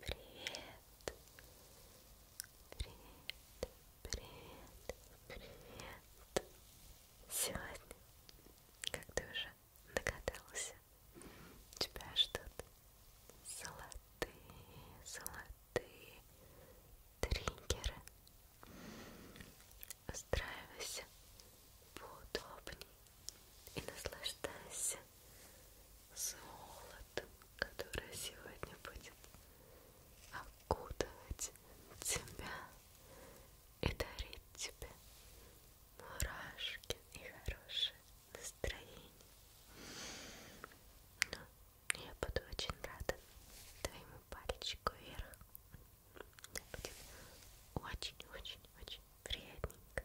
Привет. Привет. Привет. Привет. Сегодня, как ты уже догадался, у тебя ждут золотые, золотые триггеры. Устраивайся поудобнее и наслаждайся золотом, которое сегодня будет окутывать тебя и дарить тебе мурашки и хорошее настроение. Но я буду очень рада твоему пальчику вверх. Будет очень-очень-очень приятненько.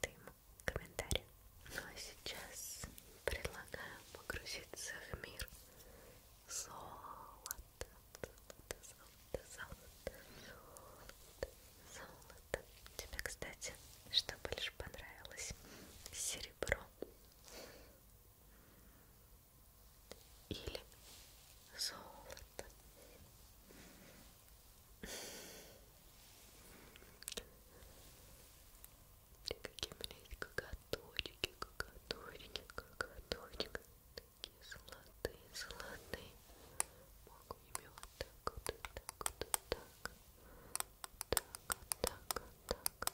Ты комментарии. Ну а сейчас предлагаю погрузиться в мир золота, золото, золото, золото, золото, золото. Тебе, кстати, что больше понравилось? Серебро или золото? И какие у меня есть коготочки, коготочки, коготочки Такие золотые, золотые Могу ими вот так вот, вот так вот, вот так Так, вот так, вот так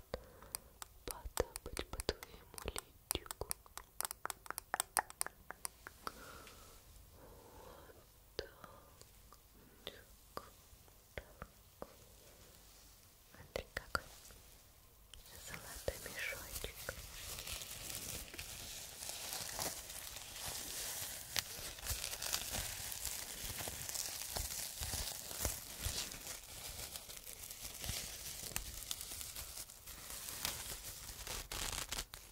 Потапать по твоему личику вот так, так. Смотри, какой золотой мешочек.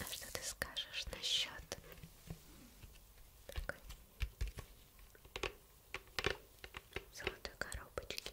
А что ты скажешь насчет такой золотой коробочки?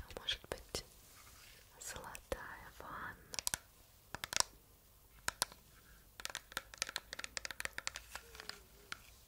А может быть золотая ванна?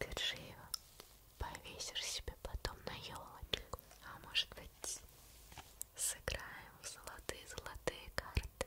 Держи его, повесишь себе потом на елочку. А может быть, сыграем в золотые-золотые карты.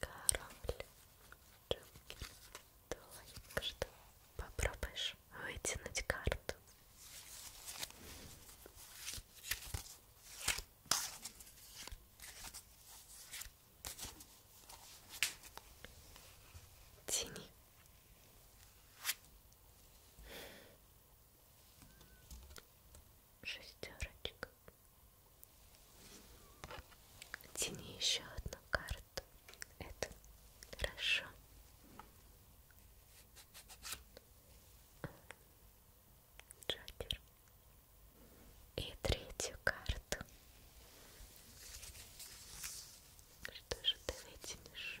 Корабль. Джокер. Только что попробуешь вытянуть карту. Тени шестерочка тяни еще одну карту это хорошо Джокер. И третью карту. Что же ты вытянешь?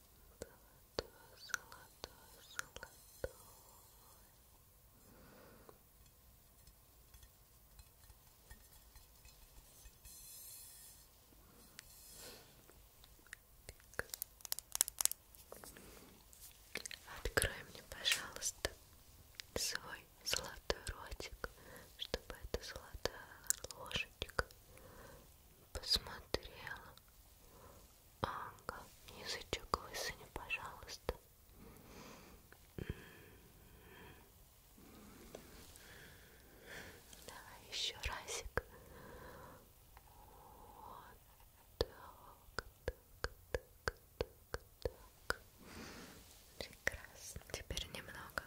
золотой, золотой, золотой. Открой мне, пожалуйста, свой золотой ротик, чтобы эта золотая ложечка посмотрела Ага, язычок высыни, пожалуйста. М-м-м. Давай еще разик. Вот так, так, так, так, так. Прекрасно. Теперь немного.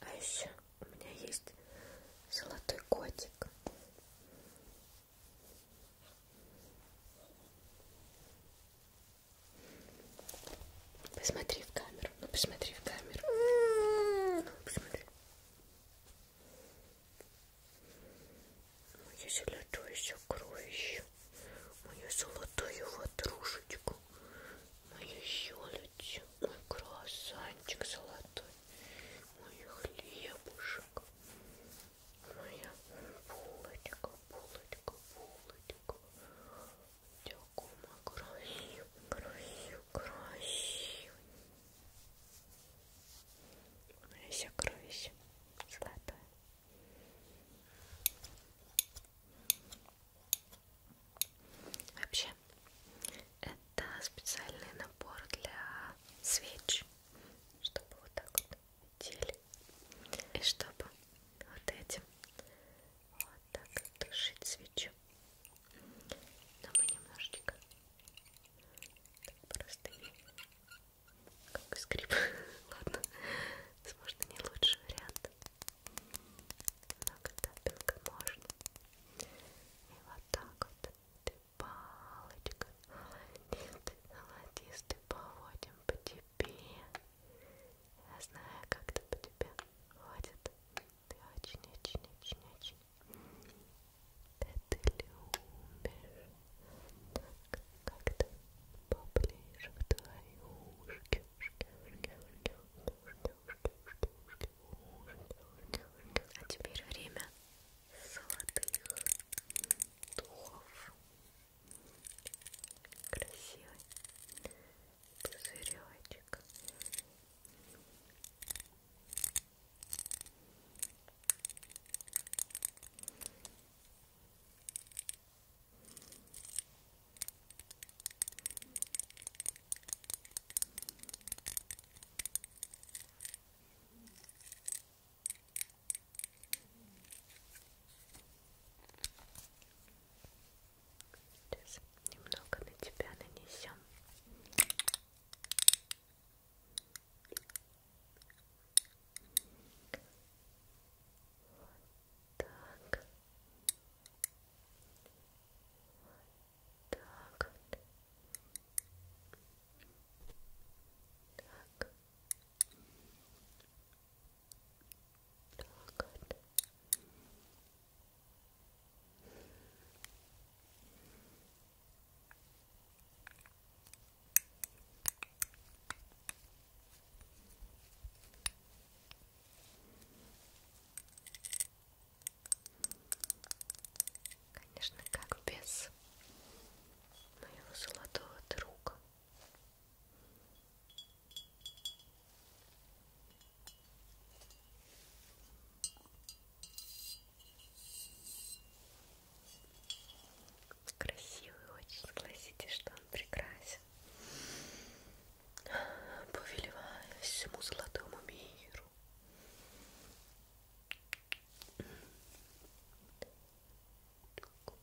А еще у меня есть золотой котик. Посмотри в камеру. Ну, посмотри в камеру. Ну, посмотри. Мою золотую сокровищу. Мою золотую ватрушечку. Мою щелочку. Мой круассанчик золотой. Мой хлебушек моя булочка, булочка, булочка. Дякума, красив, красив, красив. Она вся кровища, золотая. Вообще, это специальный набор для свеч, чтобы вот так вот теле. И чтобы вот этим вот так тушить свечу. Но мы немножечко так просто как скрип. Ладно, возможно, не лучший вариант. Много тапинка можно. И вот так вот. Ты палочка. Холодистый поводим по тебе. Я знаю, как то по тебе ходит. Ты очень-очень-очень-очень. Да ты любишь. Как-то поближе к твои ушки, ушки, ушки, ушки, ушки, ушки, ушки, ушки, ушки, ушки. А теперь время золотых духов красивый пузыречек. Ой, Сейчас немного на тебя нанесем. Вот так. Вот так. Так. Так. Конечно, как без моего золотого друга. Красивый очень, согласитесь, что он прекрасен. Повелевая всему золотому миру. Такой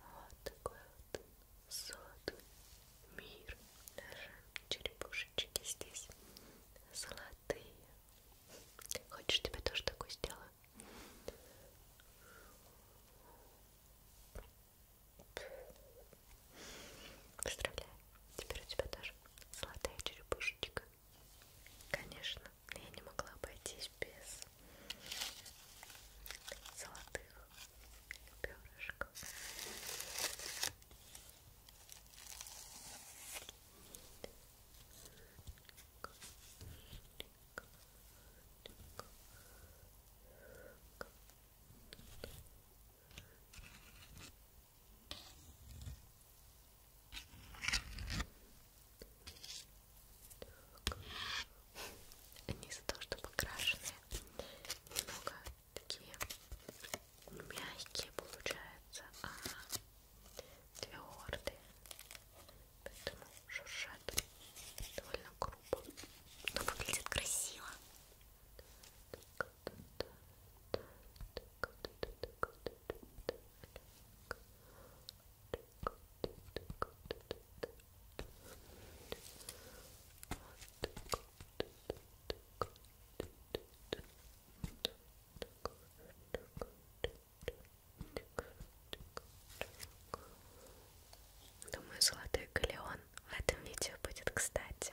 Вот такой вот сотый мир. Даже черепушечки здесь золотые. Хочешь, тебе тоже такой сделаю? Поздравляю, теперь у тебя тоже золотая черепушечка. Конечно, я не могла обойтись без золотых перышко. Так. Они из-за того, что покрашенные, немного такие мягкие получаются, а твердые, поэтому шуршат довольно грубо, но выглядит красиво. Так, Думаю, золотой галеон в этом видео будет кстати.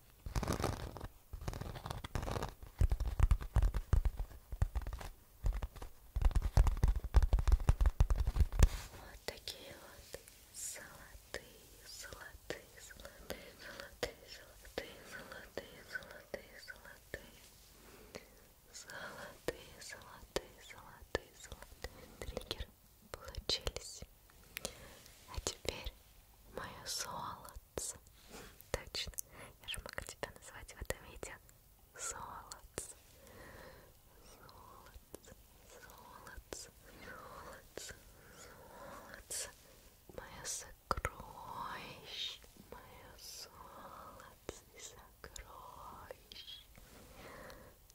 Вот такие вот золотые, золотые, золотые, золотые, золотые, золотые, золотые, золотые, золотые, золотые, золотые, золотые триггеры получились. А теперь мое золотце. Точно, я же могу тебя назвать в этом видео золотце. Золотце, золотце, золотце, золотце. Мое сокровище, мое золотце, сокровище.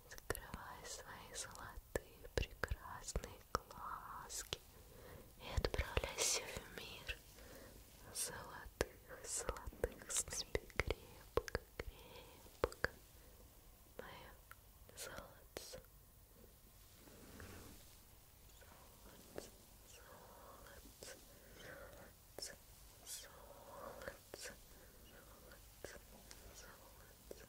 Закрывай свои золотые прекрасные глазки и отправляйся в мир золотых, золотых спи крепко, крепко, мое золотце. Золотце, золотце, золотце, золотце, золотце, золотце,